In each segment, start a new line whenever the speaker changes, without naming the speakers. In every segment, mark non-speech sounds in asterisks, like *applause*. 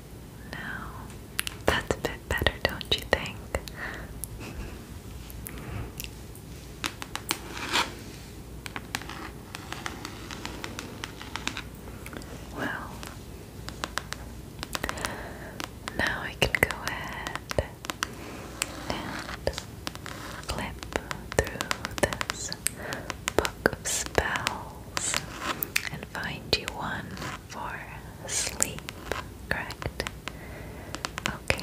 No, that's a bit better, don't you think? well, now I can go ahead and flip through this book of spells find you one for sleep, correct? Okay.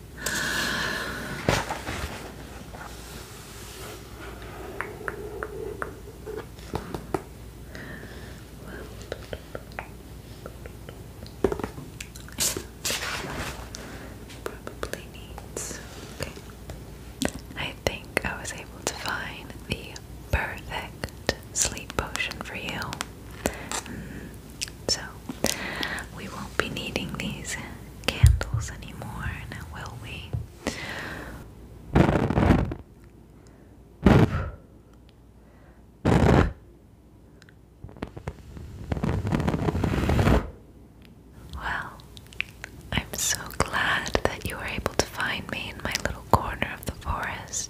Probably needs. I think I was able to find the perfect sleep potion for you. Mm, so, we won't be needing these candles anymore, will we? Well, I'm so glad that you were able to find me in my little corner of the forest.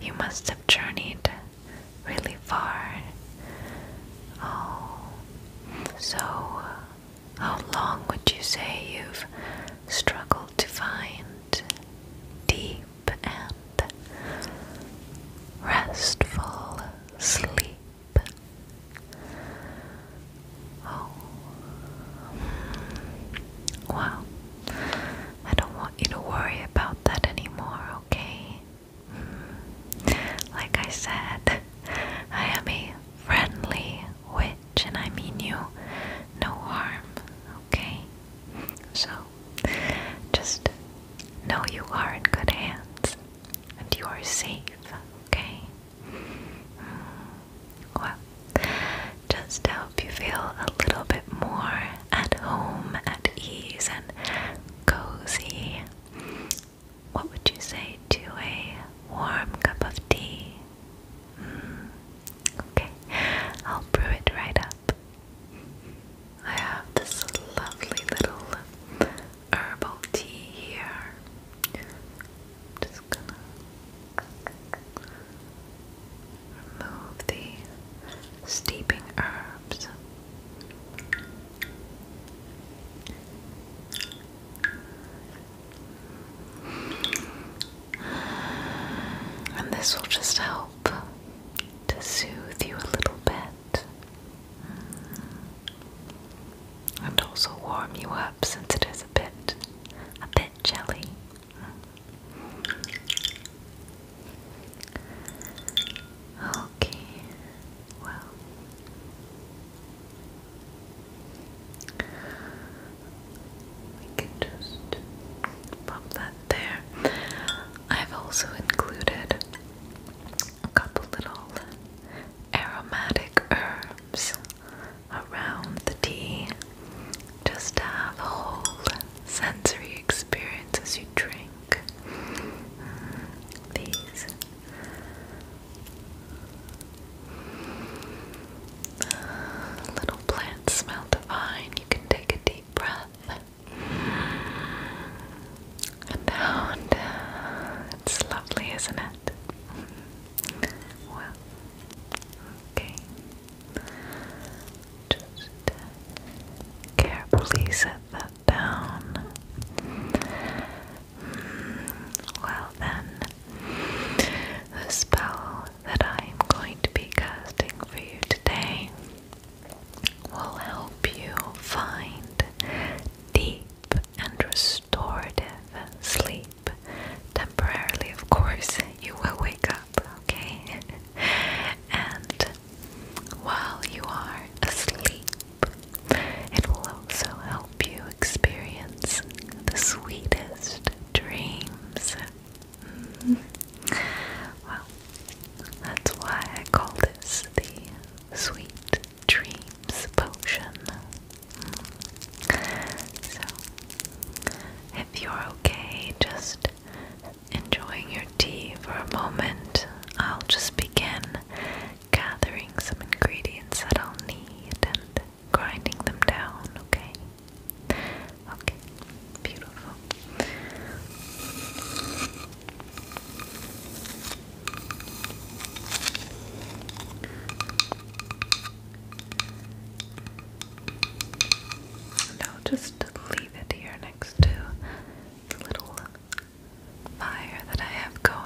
You must have journeyed really far. Oh, so how long would you say you've struggled to find deep and restful sleep? Oh, hmm. well, I don't want you to worry about that anymore, okay? Like I said, I am a friendly witch and I mean you no harm, okay? So, just know you are in good hands and you are safe, okay? Mm. Well, just to help you feel a little bit more at home, at ease, and cozy, what would you say to a warm cup of tea? Mm, okay, I'll brew it right up. I have this lovely little herbal tea here. Just gonna remove the steeping herbs. And this will just help to soothe you a little bit and also warm you up since it is a bit a bit jelly. Okay, well, we can just pop that there. I've also included a couple little aromatic herbs around the tea just to have a whole sensory experience as you drink mm, little plants smell divine. You can take a deep breath and out. It's lovely, isn't it? Well, okay. Just carefully set those that down. Hmm, well then, the spell that I am going to be casting for you today will help you find deep and restorative sleep. Temporarily, of course, you will wake up, okay? *laughs* and while you are asleep. It will also help you experience the sweetest dreams. Mm-hmm. Well, that's why I call this the Sweet Dreams Potion. Mm. So, if you're okay, just enjoying tea for a moment, I'll just begin gathering some ingredients that I'll need and grinding them down, okay? Okay, beautiful. And just leave it here next to the little fire that I have going.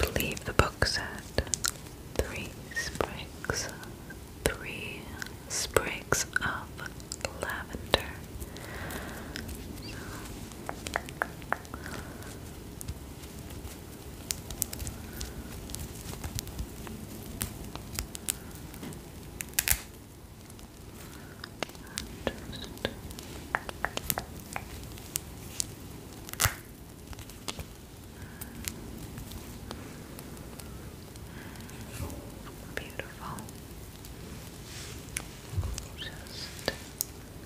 I believe the book said three sprigs, three sprigs of lavender. Just Beautiful.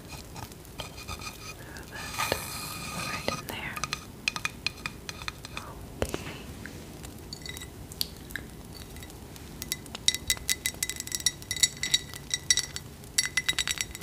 Just throw that right in there.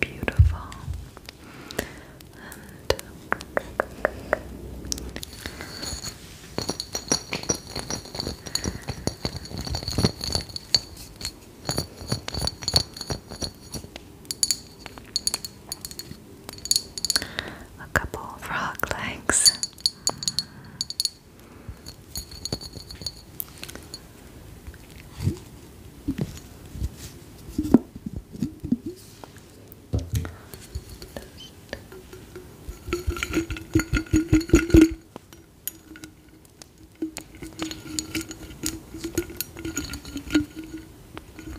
Beautiful. And a couple frog legs.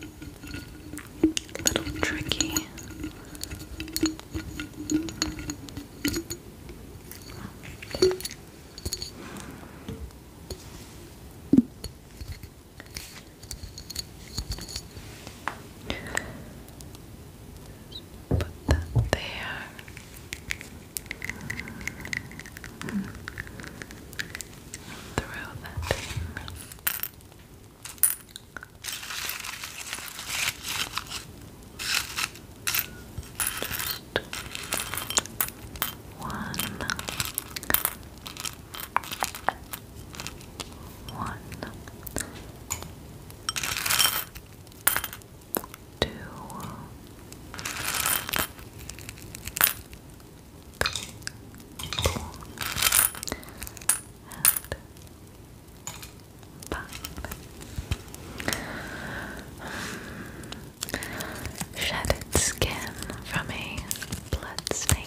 A little tricky. Put there. Mm that one, two, three, four, and Shattered skin from a blood snake.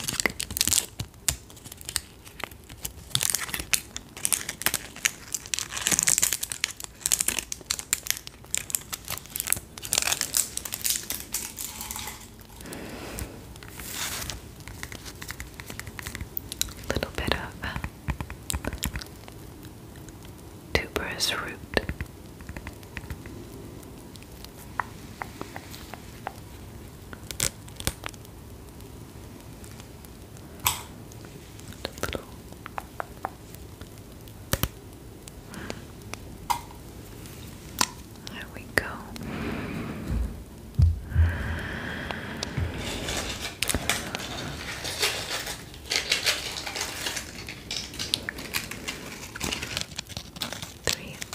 A little bit of uh, tuberous root. There we go. Three of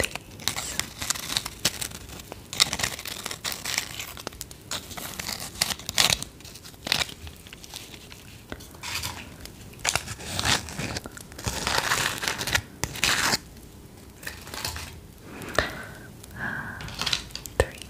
three.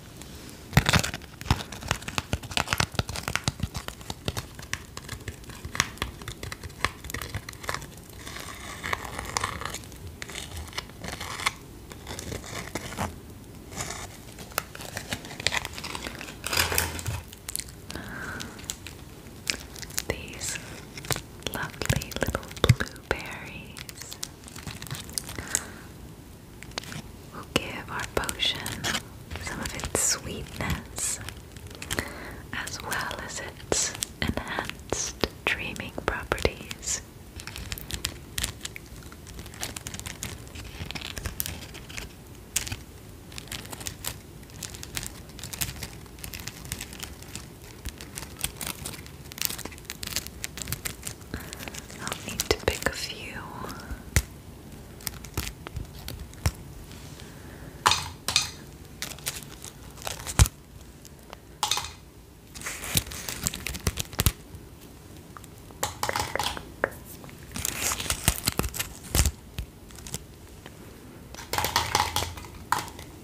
These lovely little blue berries will give our potion some of its sweetness as well as its enhanced dreaming properties. I'll need to pick a few.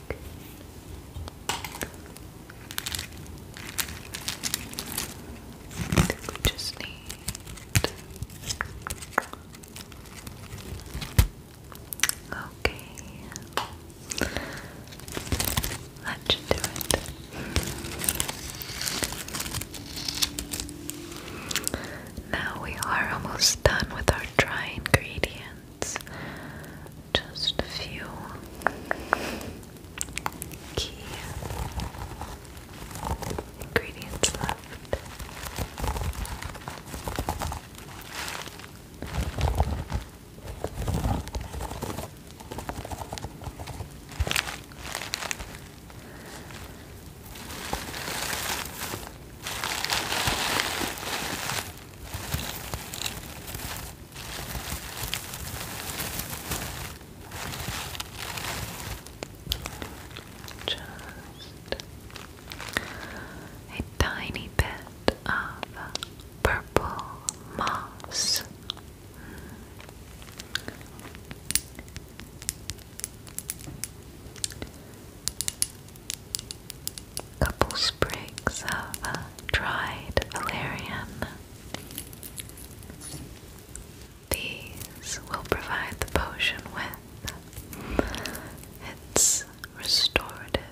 we just need Okay. That should do it. Now we are almost done with our dry ingredients just a few key ingredients left. Just a tiny bit of purple moss couple sprigs of uh, dried valerian. These will provide the potion with its restorative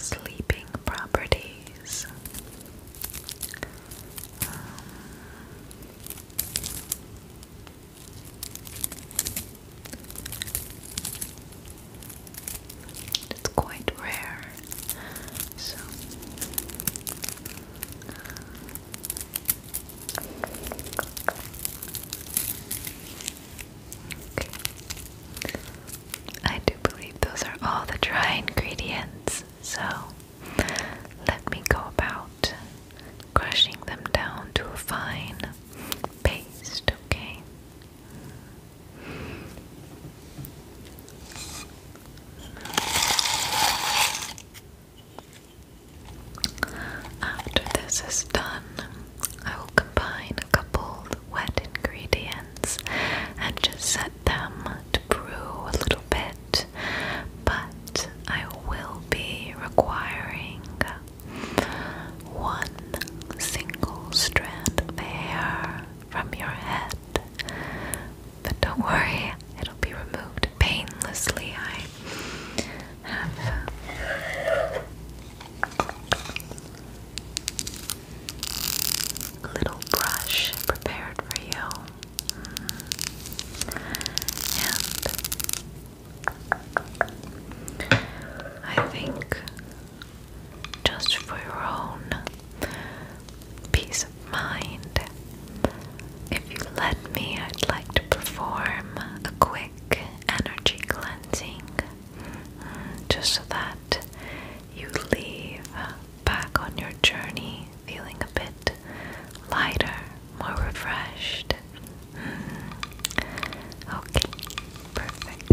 sleeping properties. Um, that's quite rare. So I do believe those are all the dry ingredients. So let me go about crushing them down to a fine paste, okay? After this is done, I will combine a couple wet ingredients and just set them to brew a little bit, but I will be requiring one single strand of hair from your head. But don't worry, it'll be removed painlessly. I have. Uh, little brush prepared for you, and I think just for your own peace of mind. If you let me, I'd like to perform a quick energy cleansing just so that you leave back on your journey feeling a bit lighter, more refreshed. Hmm. Okay, perfect.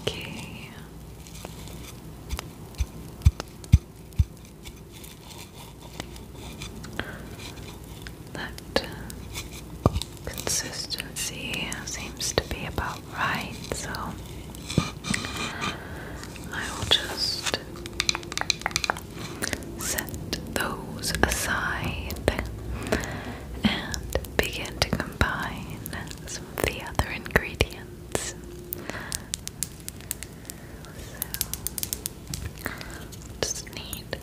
Okay. That consistency seems to be about right, so I will just Set those aside and begin to combine some of the other ingredients. just need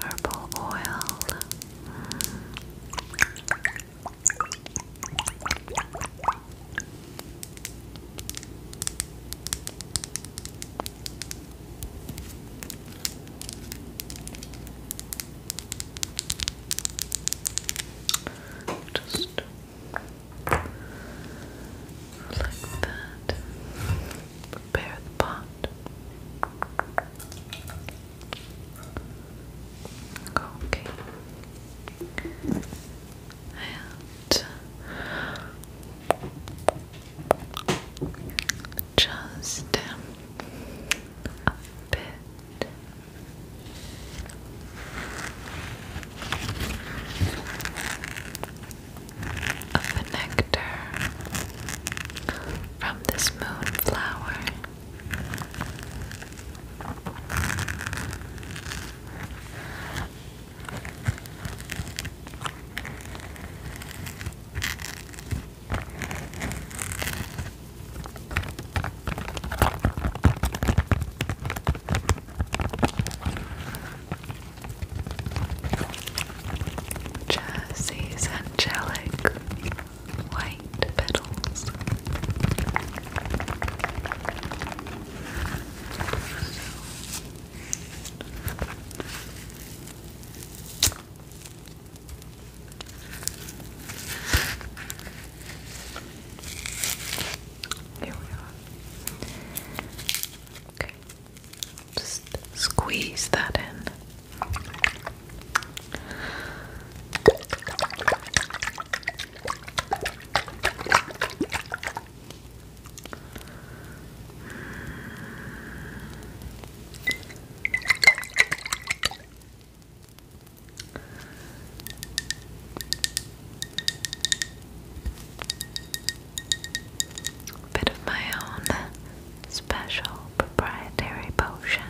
herbal oil. Just like that. Prepare the pot. And just a bit. Of the nectar from this moonflower. Jesse's angelic white petals. There we are. Okay. Just squeeze that in. Bit of my own special proprietary potion.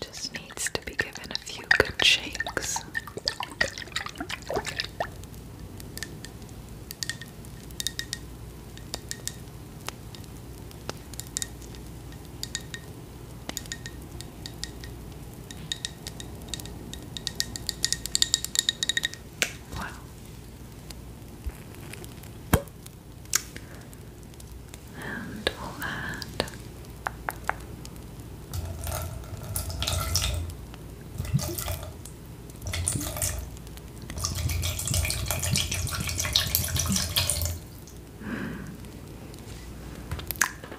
Just needs to be given a few good shakes. Wow. And we'll add hmm.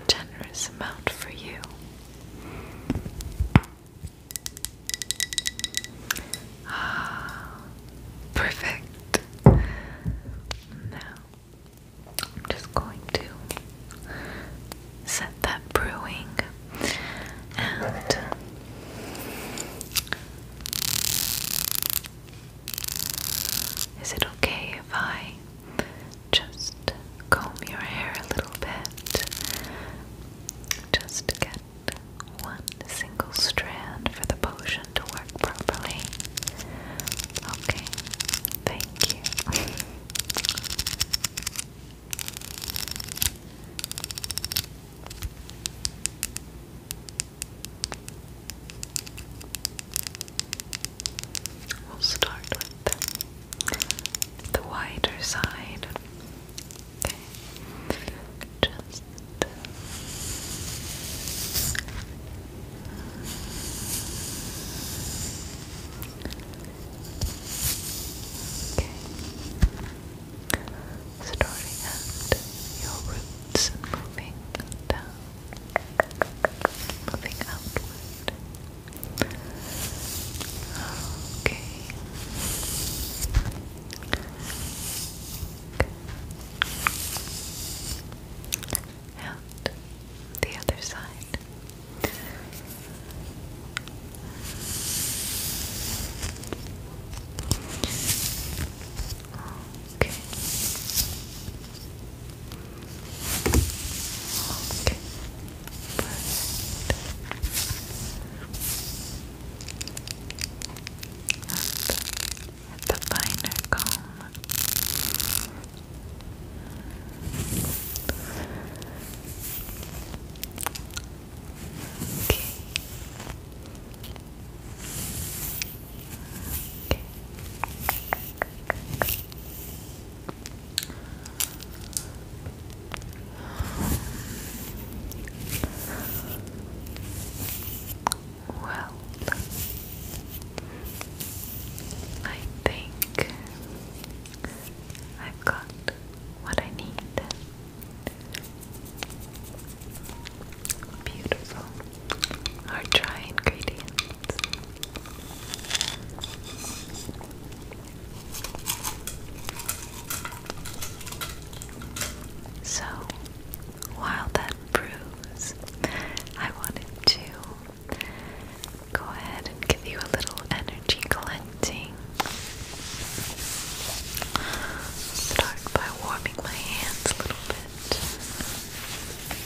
generous amount for you. Ah, perfect. Now, I'm just going to set that brewing and is it okay if I just comb your hair a little bit. Just get one single strand for the potion to work properly. Okay, thank you. *laughs* We'll start with the wider side. Okay. Just uh, Starting at your roots moving down, moving outward, Okay. And the other side. Okay. Okay. Perfect. At the finer comb. Okay. Okay. Well, I think i got what I need. Beautiful. Our dry ingredients. So, while that brews, I wanted to go ahead and give you a little energy collecting. Start by warming my hands a little bit.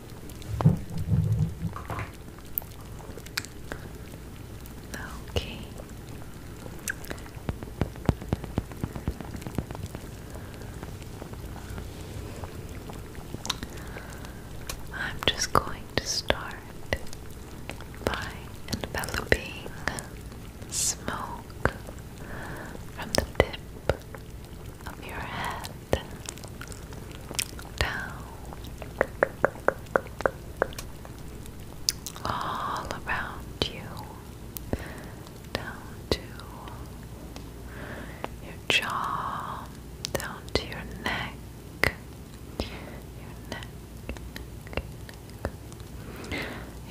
Okay. I'm just going to start by enveloping smoke from the tip of your head down all around you down to your jaw down to your neck your neck, neck.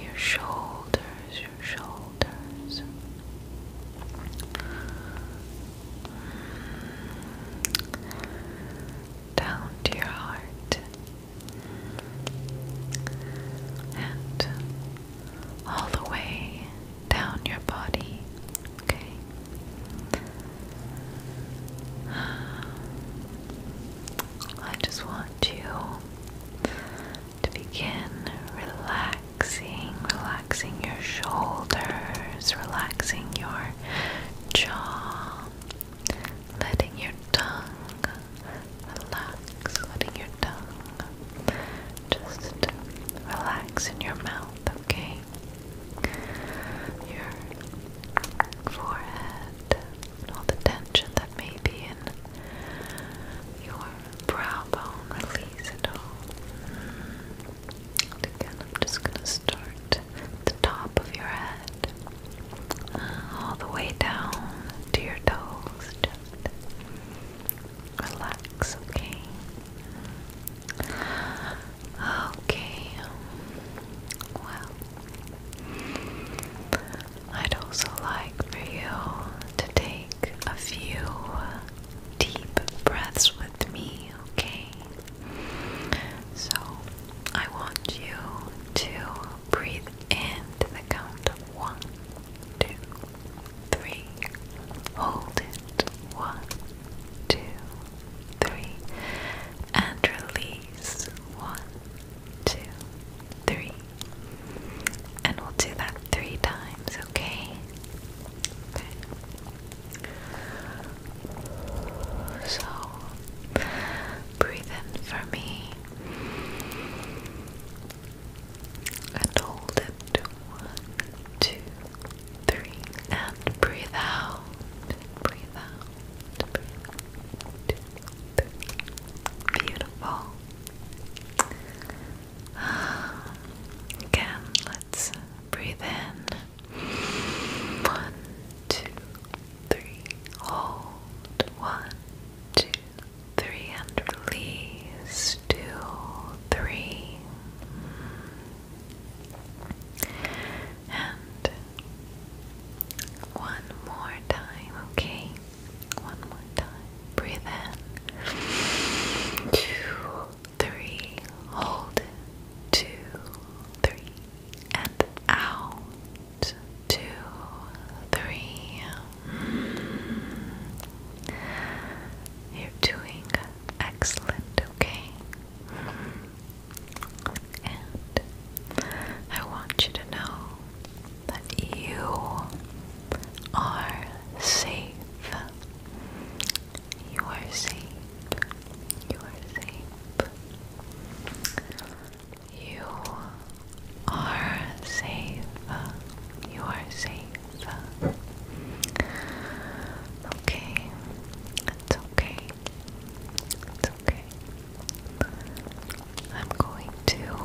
Your shoulders, your shoulders. Down to your heart and all the way down your body, okay? I just want you to begin relaxing, relaxing your shoulders, relaxing your jaw, letting your tongue relax, letting your tongue just relax in your mouth, okay? Your forehead, all the tension that may be in your brow bone release. And again, I'm just going to start at the top of your head, all the way down to your toes. Just relax, okay? Okay, well, I'd also like for you to take a few deep breaths with me, okay? So I want you to breathe in to the count of one, two, three. Hold it. One, two, three. And release. One, two, three. And we'll do that three times, okay? So breathe in for me and hold it. One, two, three, and breathe out. Breathe out. Breathe out. Two, three. Beautiful. Again, let's breathe in. One, two, three. Hold. One, two, three, and Two, three. And one more time, okay? One more time. Breathe in two, three, hold, two, three, and out, two, three. You're doing excellent, okay? And I want you to know that you are safe. You are safe. You are safe. You are safe. You are safe. Okay. It's okay. It's okay. I'm going to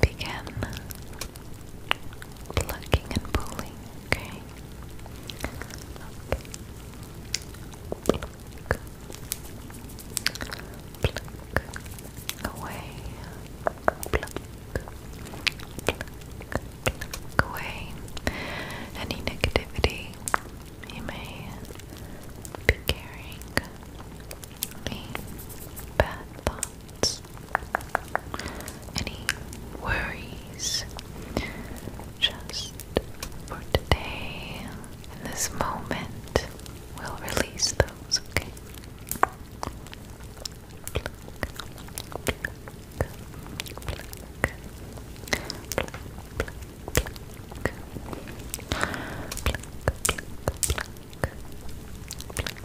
begin plucking and pulling, okay? Pluck. away. Pluck. away. Any negativity you may be carrying. Any bad thoughts thoughts, any worries, just for today, in this moment, we'll release those, okay?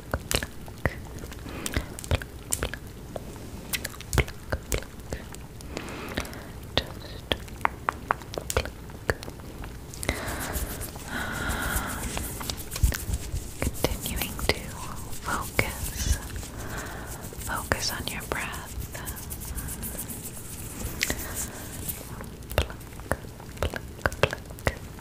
pluck, Continuing to focus, focus on your breath.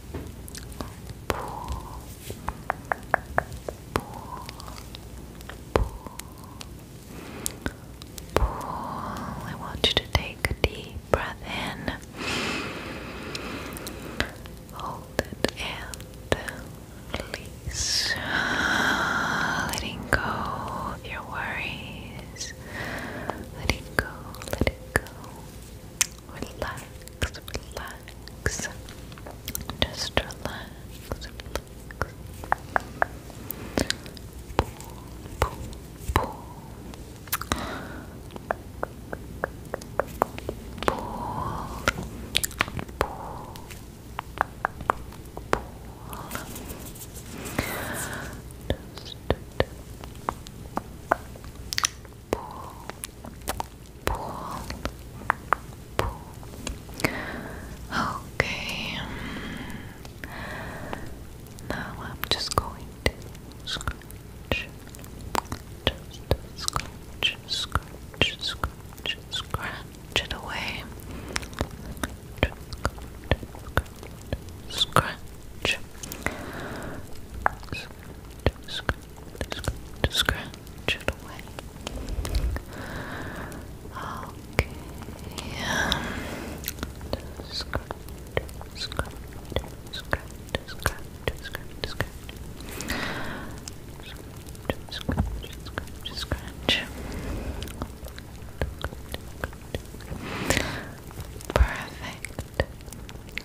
Pool. Pool. Pool. I want you to take a deep breath in. Hold it and release. Letting go of your worries. Letting go. Letting go relax, relax. Just relax, relax. Boom, boom, boom. Pull, pull, pull. Just, just pull, pull, pull. Okay. Now I'm just going to scratch, just scratch, scratch, scratch, scratch it away. Scratch, scratch, scratch, scratch, scratch, scratch it away. Okay. Just scratch, scratch, scratch, scratch, scratch, scratch. Scratch, scratch, scratch, scratch. Perfect.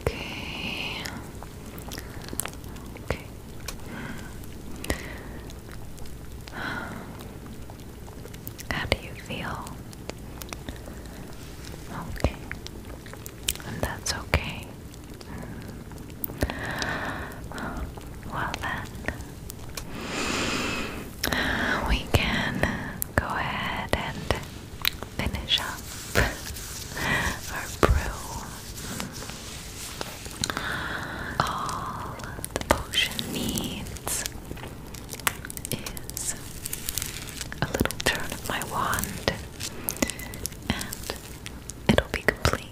Okay. Okay. How do you feel? Okay. And that's okay. Hmm. Well then, we can go ahead and finish up our brew. All the potion needs is a little turn of my wand, and it'll be complete.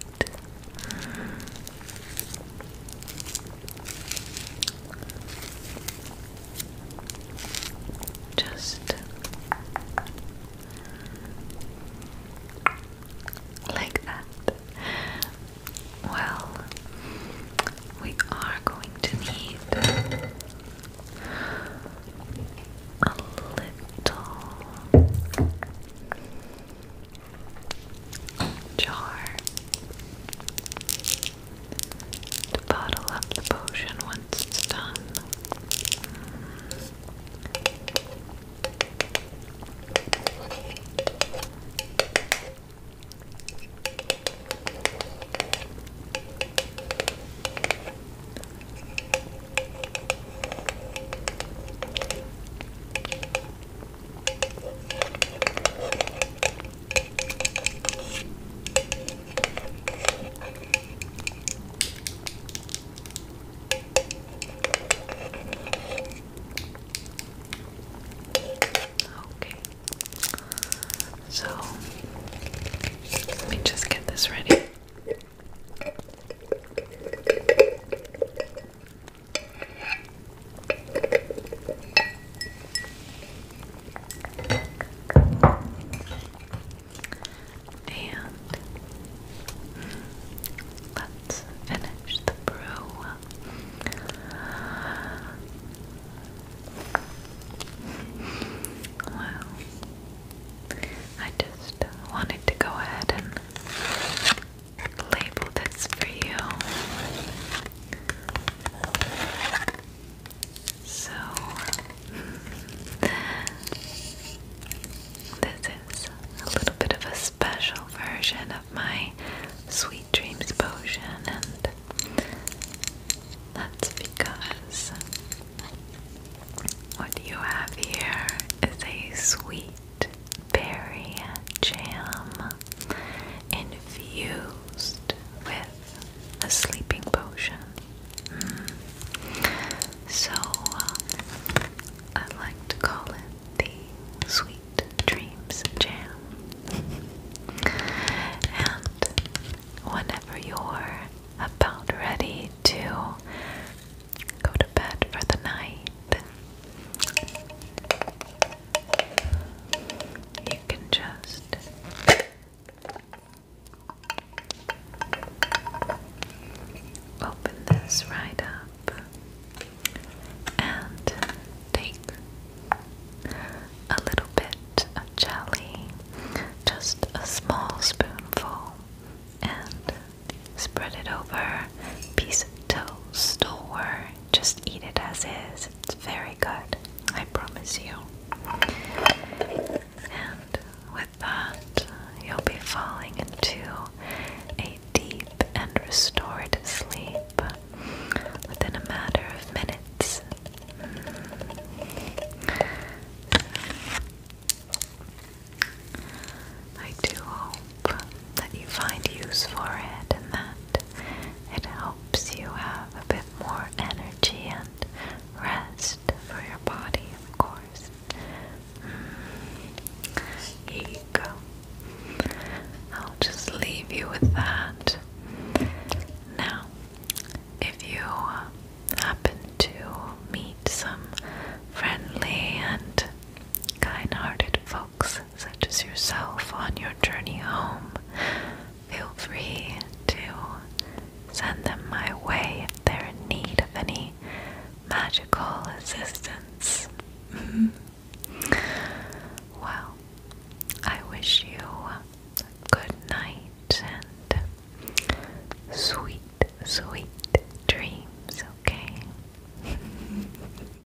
Just like that. Well, we are going to need a little jar to bottle up the potion once it's done. Okay. So let me just get this ready. And let's finish the brew. Well, I just wanted to go ahead label this for you. So, this is a little bit of a special version of my Sweet Dreams potion, and that's because what you have here is a sweet berry jam infused with a sleeping potion. Mm. So um, I like to call it the Sweet Dreams Jam. and whenever you're about ready to go to bed for the night, you can just open this right up and take a little bit of jelly, just a small spoonful, and spread it over a piece of toast or just eat it as is. It's very good, I promise you. And with that, you'll be falling into a deep and restored sleep within a matter of minutes. Mm. I do that you find use for it and that it helps you have a bit more energy and rest for your body, of course. Mm. Here you go. I'll just leave you with that. Now, if you uh, happen to meet some friendly and kind hearted folks such as yourself on your journey home, feel free to send them my way if they're in need of any magical assistance. Mm-hmm. well, I wish you good night and sweet, sweet dreams, okay? *laughs*